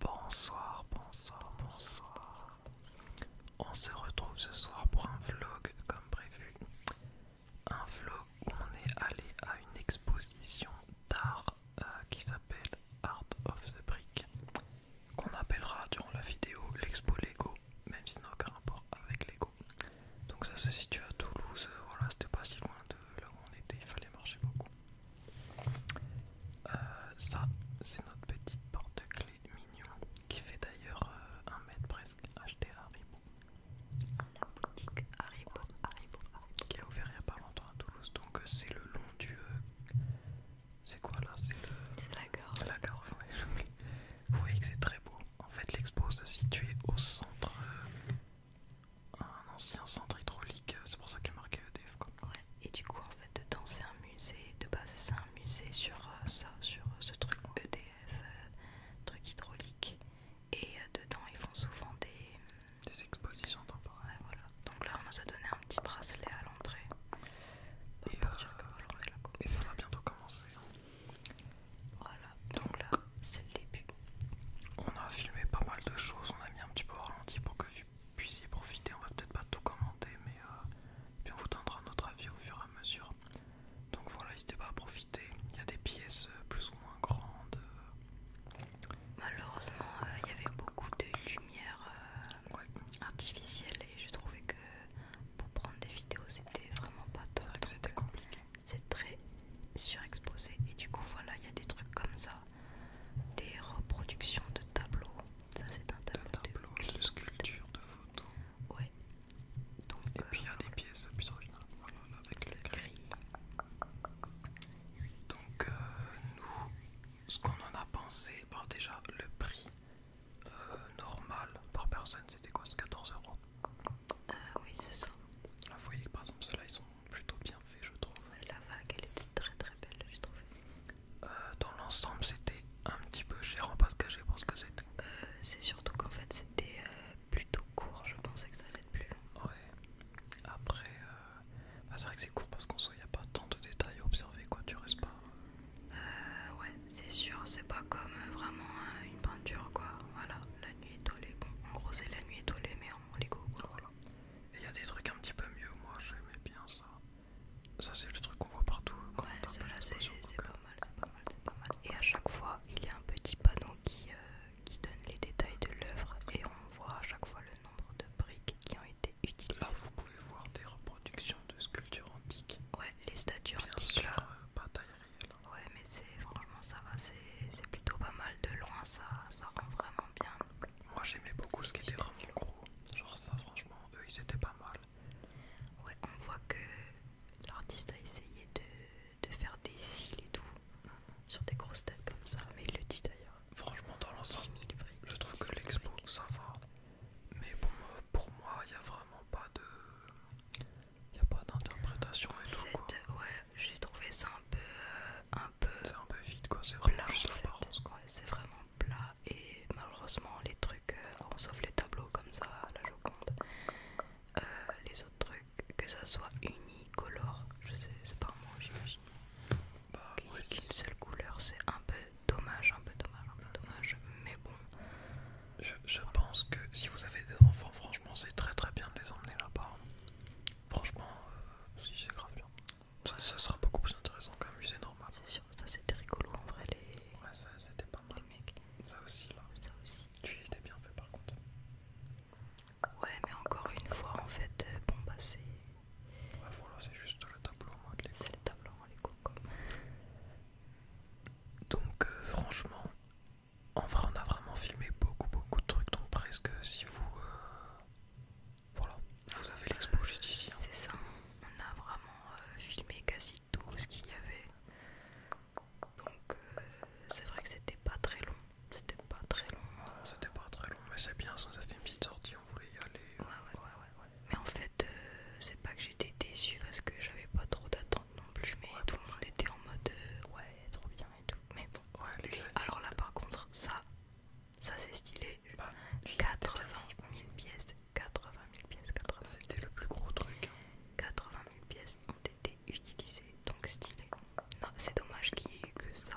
Bonsoir, bonsoir, bonsoir. On se retrouve ce soir pour un vlog comme prévu. Un vlog où on est allé à une exposition d'art euh, qui s'appelle Art of the Brick. Qu'on appellera durant la vidéo l'expo Lego, même si n'a aucun rapport avec Lego. Donc ça se situe à Toulouse, euh, voilà, c'était pas si loin de là où on était, il fallait marcher beaucoup. Euh, ça, c'est notre petit porte-clés mignon qui fait d'ailleurs euh, un mètre presque acheté à Haribo. La boutique Haribo, Qui a ouvert il n'y pas longtemps à Toulouse. Donc euh, c'est le long du. c'est quoi là C'est la gare. La Vous voyez que c'est très beau. En fait, l'expo se situe au centre un ancien centre hydraulique, euh, c'est pour ça qu'il y a marqué EDF. Quoi. Et du coup, en fait, dedans c'est un musée, de base c'est un musée sur euh, ça, sur euh, ce truc EDF, truc hydraulique. Et dedans ils font souvent des, des expositions temporaires. Donc là on nous a donné un petit bracelet à l'entrée. et, ça va bientôt commencer. Hein donc là, c'est le début. On a filmé pas mal de choses, on a mis un petit peu au ralenti pour que vous puissiez profiter. On va peut-être pas tout commenter, mais euh, on vous donnera notre avis au fur et à mesure. Donc voilà, n'hésitez pas à profiter. Il y a des pièces euh, plus ou moins grandes. Euh. Malheureusement, il y avait beaucoup de lumière artificielle et je trouvais que pour prendre des vidéos, c'était vraiment pas top. C'était compliqué c'est très surexposé et du coup voilà il y a des trucs comme ça des reproductions de tableaux ça c'est un tableau, de, de sculpture de photos ouais et puis il y a euh, des pièces plus originales avec le, gris donc euh, nous ce qu'on en a pensé déjà le prix euh, normal par personne c'était quoi 14 euros euh, oui, c'est ça. vous voyez que par exemple, ceux-là ils sont plutôt bien faits, je trouve. La vague, elle était très très belle, j'ai trouvé. Euh, dans l'ensemble, c'était un petit peu cher en pas se cacher pour ce que c'était. Euh, c'est surtout qu'en fait, c'était plutôt court, je pensais que ça allait être plus long. Ouais, après, bah, c'est vrai que c'est court parce qu'en soi, il n'y a pas tant de détails à observer, quoi, tu restes pas. ouais, c'est sûr, c'est pas comme euh, vraiment euh, une peinture quoi. Voilà, la nuit étoilée. Bon, en gros, c'est la nuit étoilée, mais en Lego. Voilà. Et il y a des trucs un petit peu mieux, moi j'aimais bien ça. Ça, c'est le truc qu'on voit partout. Quand ouais, cela c'est pas mal, c'est pas mal, c'est pas mal. Et à chaque fois, il y a un petit panneau euh, qui, donne les détails de l'œuvre et on voit à chaque fois le nombre de briques qui ont été utilisées. Là, vous pouvez voir des reproductions de sculptures antiques. Ouais, les statues là. Ouais, mais c'est franchement ça va, c'est plutôt pas mal de loin, ça, ça rend vraiment bien. Moi j'aimais beaucoup ce qui était dans gros, genre ça, franchement, eux ils étaient pas mal. Ouais, on voit que l'artiste a essayé de, faire des cils et tout mm. sur des grosses têtes comme ça, mais il le dit d'ailleurs. Franchement, dans l'ensemble, je trouve que l'expo ça va, mais bon, pour moi il y a vraiment pas de il a pas d'interprétation et tout fait, Ouais, j'ai trouvé ça un peu. Euh, un peu c'est un peu vide quoi, c'est vraiment C'est vraiment plat et malheureusement les trucs, euh, sauf les tableaux comme ça, la Joconde. Euh, les autres trucs, que ça soit unicolore, je sais, c'est pas moi j'imagine. Bah, Qu'une seule couleur, c'est un peu dommage, un peu dommage, un peu dommage, mais bon. Je, pense que si vous avez des enfants, franchement, c'est très très bien de les emmener là-bas. Hein. Franchement, euh, si c'est grave bien. Ça, sera beaucoup plus intéressant qu'un musée normal. C'est sûr, ça c'était rigolo en vrai, les. Ouais, ça c'était pas mal. mec Ça aussi, là. Ça aussi. Tu étais bien fait par contre. Ouais, mais encore une fois, en fait, euh, bon bah c'est. Ouais, voilà, c'est juste le tableau, de l'école. C'est le tableau, donc euh, franchement, en vrai on a vraiment filmé beaucoup beaucoup de trucs, donc presque euh, si vous... Euh, vous avez l'expo juste ici. Hein. C'est ça, on a vraiment filmé quasi tout ce qu'il y avait. Donc c'est vrai que c'était pas très long, c'était pas très long. C'était pas très long, mais c'est bien, ça nous a fait une petite sortie, on voulait y aller. Mais en fait, euh, c'est pas que j'étais déçue parce que j'avais pas trop d'attentes non plus, mais tout le monde était en mode euh, ouais, trop bien et tout. Mais bon, alors là par contre, ça, ça c'est stylé. 80 bah, 000 pièces, 80 000 pièces, 80 000 C'était le plus gros truc. 80 hein. 000 pièces ont été utilisées, donc stylé. Non, c'est dommage qu'il y ait eu que ça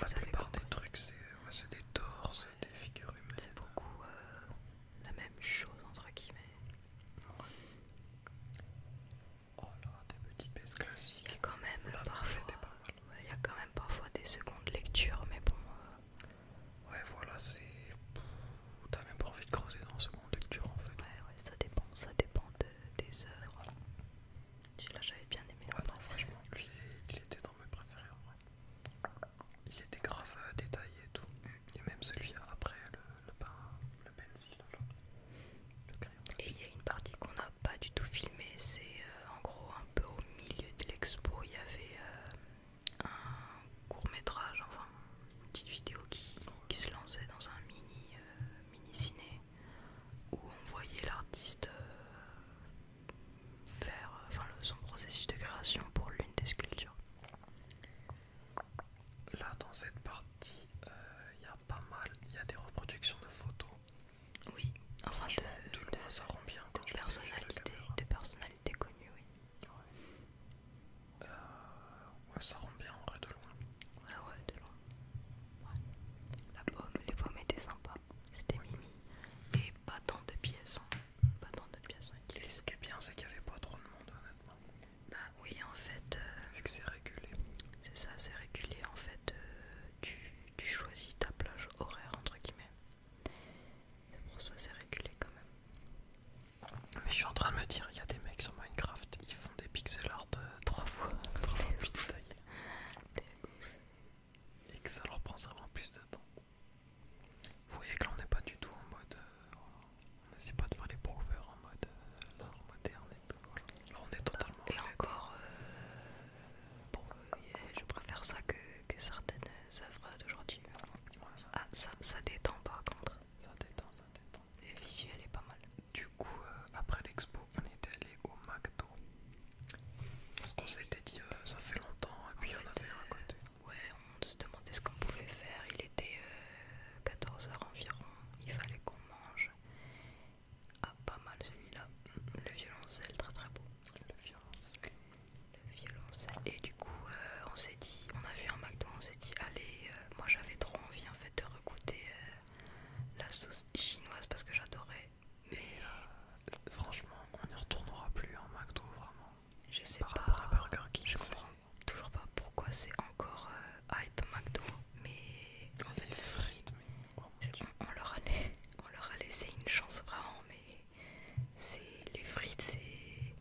la plupart des trucs c'est des torses, des figures humaines. C'est beaucoup euh, la même chose entre guillemets. Oh là, des petits pièces classiques. Il y a quand même parfois, il y a quand même parfois des secondes lectures, mais bon. moi euh. Ouais, voilà, c'est. T'as même pas envie de creuser dans seconde lecture en fait. Ouais, ouais, ça dépend, ça dépend des œuvres là j'avais bien aimé. Ah franchement, lui, il était dans mes préférés en vrai. Il était grave euh, détaillé et tout. Et même celui après, le, le, le pencil, Et il y a une partie qu'on n'a pas du tout filmée, c'est euh, en gros un peu au milieu de l'expo, il y avait euh, un court métrage, enfin une petite vidéo qui, se lançait dans un mini, mini ciné où on voyait l'artiste euh, faire euh, son processus de création pour l'une des sculptures. Là dans cette partie, il euh, y a pas mal, il y a des reproductions de photos. Oui, enfin de, ça bien quand de, oui. ça rend bien en vrai de loin. Ouais, ah ouais, de loin. La les pommes étaient sympas. C'était mimi. Et pas tant de pièces. Hein. Pas tant de pièces. ce qui est bien, c'est qu'il n'y avait pas trop de monde, honnêtement. Bah oui, en fait. Euh, Vu que c'est régulé. C'est ça, c'est régulé. En fait, euh, tu, choisis ta plage horaire, entre guillemets. C'est pour ça, c'est régulé quand même. Mais je suis en train de me dire, il y a des mecs sur Minecraft, des pixel art euh, trois fois, trois fois plus taille Et que ça leur prend vraiment plus de temps. Vous voyez que là on n'est pas du tout en mode. Euh, on n'essaie pas de faire les prouveurs en mode euh, l'art moderne on est totalement. Et encore, je préfère ça que, que certaines œuvres d'aujourd'hui. Ah, ça, ça détend par contre. Ça détend, ça visuel est pas mal. Du coup, euh, après l'expo, on était allé au McDo. Parce qu'on s'était dit, euh, ça fait longtemps, et puis on avait côté. Ouais, on se demandait ce qu'on pouvait faire. Il était 14h euh, environ, il fallait qu'on mange. Ah, pas mal celui-là. Le violoncelle, très très beau. Le violoncelle. Le Et du coup, on s'est dit, on a vu un McDo, on s'est dit, allez, moi j'avais trop envie en de goûter euh, la sauce chinoise parce que j'adorais. Mais euh, franchement, on n'y retournera plus en hein, McDo vraiment. Je sais pas. toujours pas pourquoi c'est encore euh, hype McDo, mais frites, oh on, leur a, on leur a laissé une chance vraiment, mais c'est les frites, c'est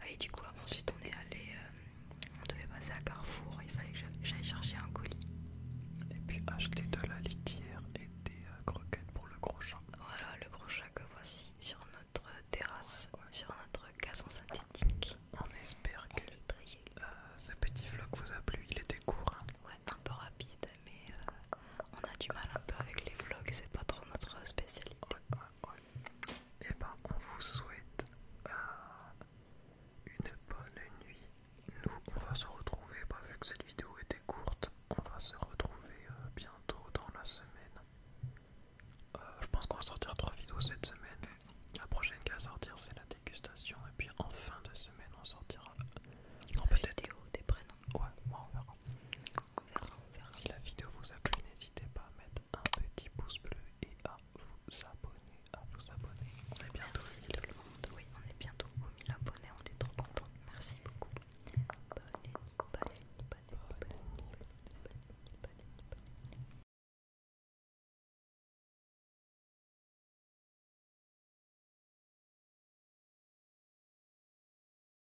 ah, et du coup, ensuite on est allé, euh, on devait passer à Carrefour, il fallait que j'aille chercher un colis. Et puis acheter de la litière et des euh, croquettes pour le gros chat. Voilà, le gros chat que voici sur notre terrasse, sur notre gazon synthétique. On espère que euh, ce petit vlog vous a plu, il était court. Hein. Ouais, un peu rapide, mais on a du mal un peu avec les vlogs, c'est pas trop notre spécialité et eh ben on vous souhaite euh, une bonne nuit. Nous on va se retrouver, bah, vu que cette vidéo était courte, on va se retrouver euh, bientôt dans la semaine. Euh, je pense qu'on va sortir trois vidéos cette semaine. La prochaine qui va sortir c'est la dégustation et puis en fin de semaine on sortira. Non peut-être des prénoms. Ouais, moi on verra. Si la vidéo vous a plu, n'hésitez pas à mettre un petit pouce bleu et à vous abonner. À vous abonner. On est bientôt Merci tout le monde. Oui, on est bientôt aux 1000 abonnés. On est trop contents. Merci beaucoup. Bonne Bonne nuit. Bonne nuit. Bonne nuit. Bonne nuit. Bonne nuit. Bonne nuit.